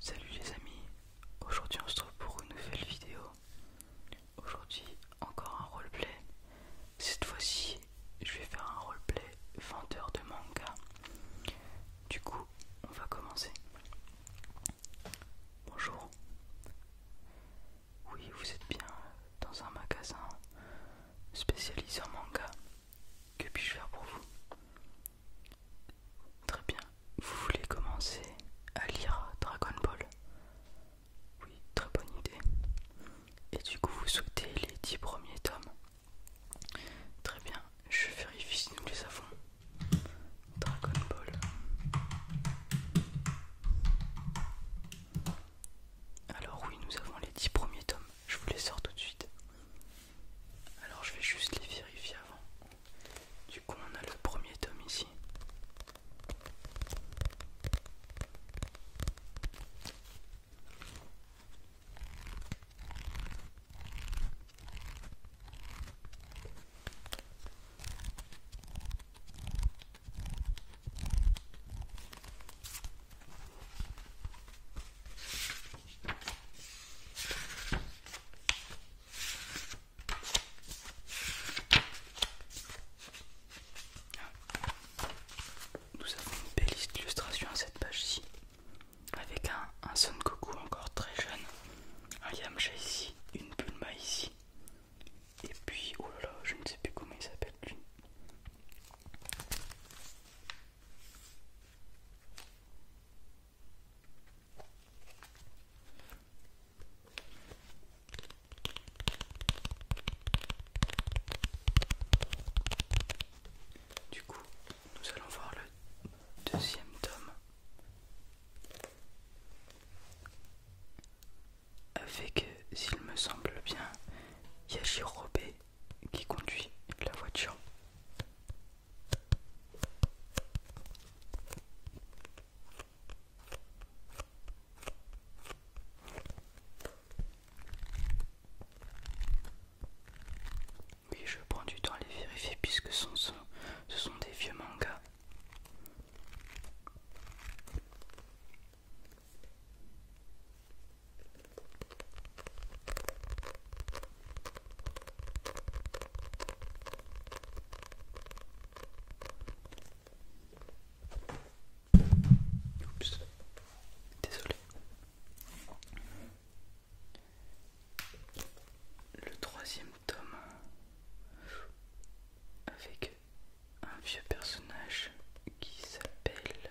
Salut les amis, aujourd'hui on se retrouve pour une nouvelle vidéo. Aujourd'hui encore un roleplay. Cette fois-ci je vais faire un roleplay vendeur de manga. Du coup on va commencer. Bonjour. Oui vous êtes bien dans un magasin spécialisé en manga. Que puis-je faire pour vous Très bien. Vous voulez commencer à lire Dragon Ball Oui, très bonne idée. Et du coup, vous souhaitez les 10 premiers tomes Très bien. Je vérifie si nous les avons. Dragon Ball. Alors oui, nous avons les 10 premiers tomes. Je vous les sors tout de suite. Alors je vais juste les vérifier avant. Du coup on a le premier tome ici. Nous avons une belle illustration à cette page-ci, avec un, un Son Goku encore très jeune, un Yamcha ici, une Bulma ici, et puis oh là là, je ne sais plus comment il s'appelle lui. Du coup, nous allons voir le deuxième tome avec, euh, s'il me semble bien, Yajirobe qui conduit la voiture. Oui, je prends du temps à les vérifier puisque ce sont, des vieux mangas. Oups, désolé. Le troisième tome avec un vieux personnage qui s'appelle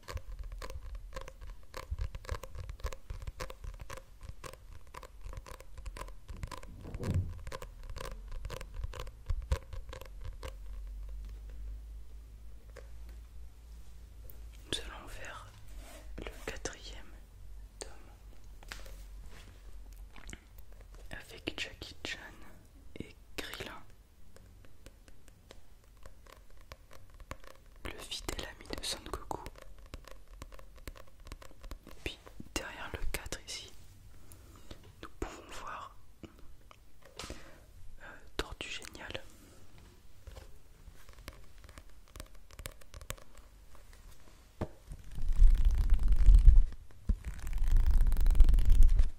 Nous allons faire le quatrième tome avec Jackie Chan et Krilin le fidèle ami de Son Puis derrière le quatre ici, nous pouvons voir euh, Tortue Géniale.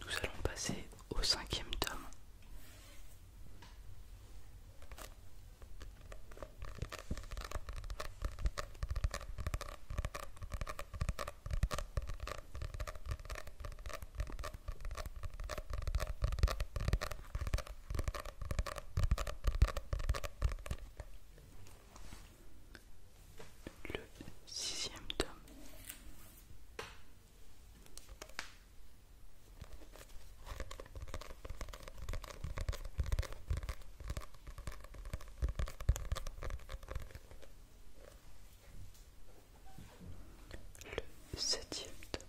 Nous allons passer au cinquième tome le sixième tome. Le septième tome.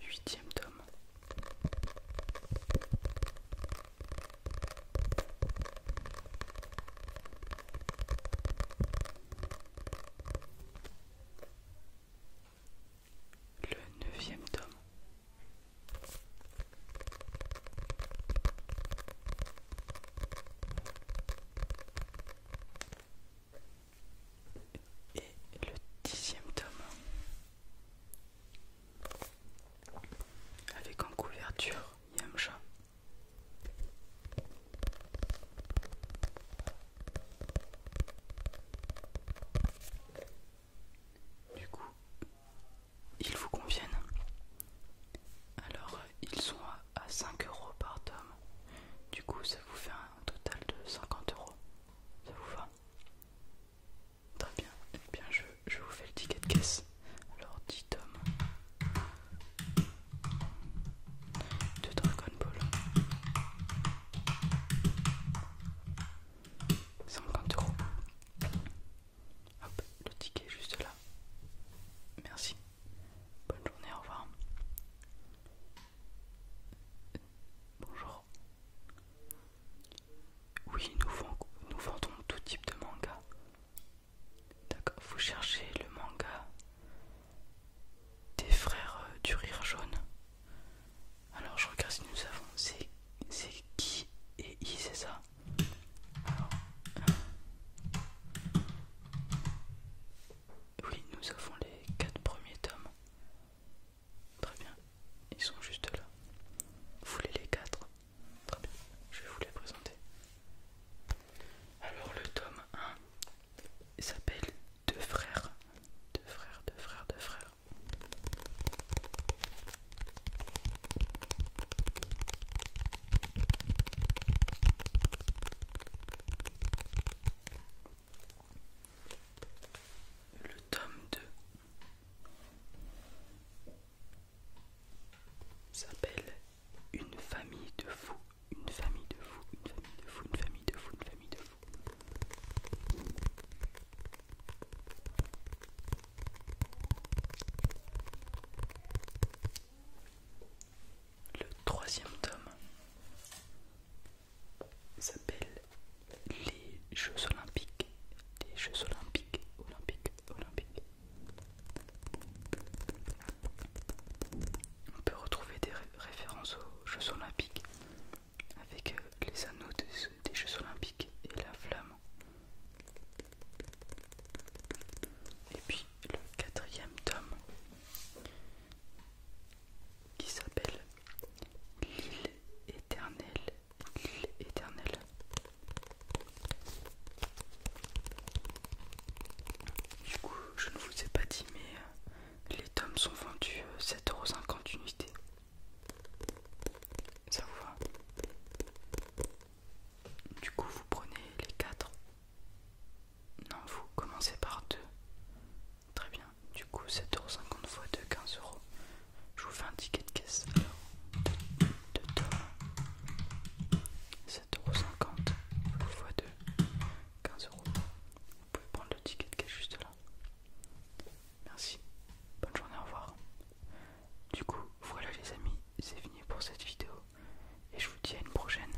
Huitième tome. Le neuvième tome. Et le dixième tome. Avec en couverture Yamcha. Du coup, ils vous conviennent. Alors, ils sont à 5 euros par tome. Du coup, ça vous fait un total de 50 euros. Ça vous va Très bien, eh bien je, vous fais le ticket de caisse. Alors 10 tomes de Dragon Ball. 50 euros. Hop, le ticket est juste là. Merci. Bonne journée, au revoir. Bonjour. Oui, nous, vendons tout type de manga. D'accord, vous cherchez le manga des frères euh, du rire jaune. Alors je regarde si nous avons. C'est qui et I, c'est ça Oui, nous avons les quatre premiers tomes. Très bien, ils sont juste là. Vous voulez les quatre Très bien, je vais vous les présenter. Alors le tome 1 s'appelle Deux frères. Deux frères, deux frères, deux frères le tome 2 s'appelle Une famille de fous, une famille de fous, une famille de fous, une famille de fous, une famille de fous. Le troisième tome s'appelle les Jeux Olympiques. Les Jeux Olympiques, Olympiques, Olympiques. On peut retrouver des références aux Jeux Olympiques avec euh, les anneaux des Jeux Olympiques et la flamme. Et puis le quatrième tome qui s'appelle L'île éternelle. L'île éternelle. Du coup, je ne vous ai pas dit, mais euh, les tomes sont vendus 7,50€ euh, unité. Ça vous va Du coup, vous prenez les 4. Non, vous commencez par 2. Très bien, du coup 7,50€ fois 2, 15€. Je vous fais un ticket de caisse. Alors, de 7,50€ fois 2, 15€. Vous pouvez prendre le ticket de caisse juste là. Merci, bonne journée, au revoir. Du coup, voilà les amis, c'est fini pour cette vidéo. Et je vous dis à une prochaine.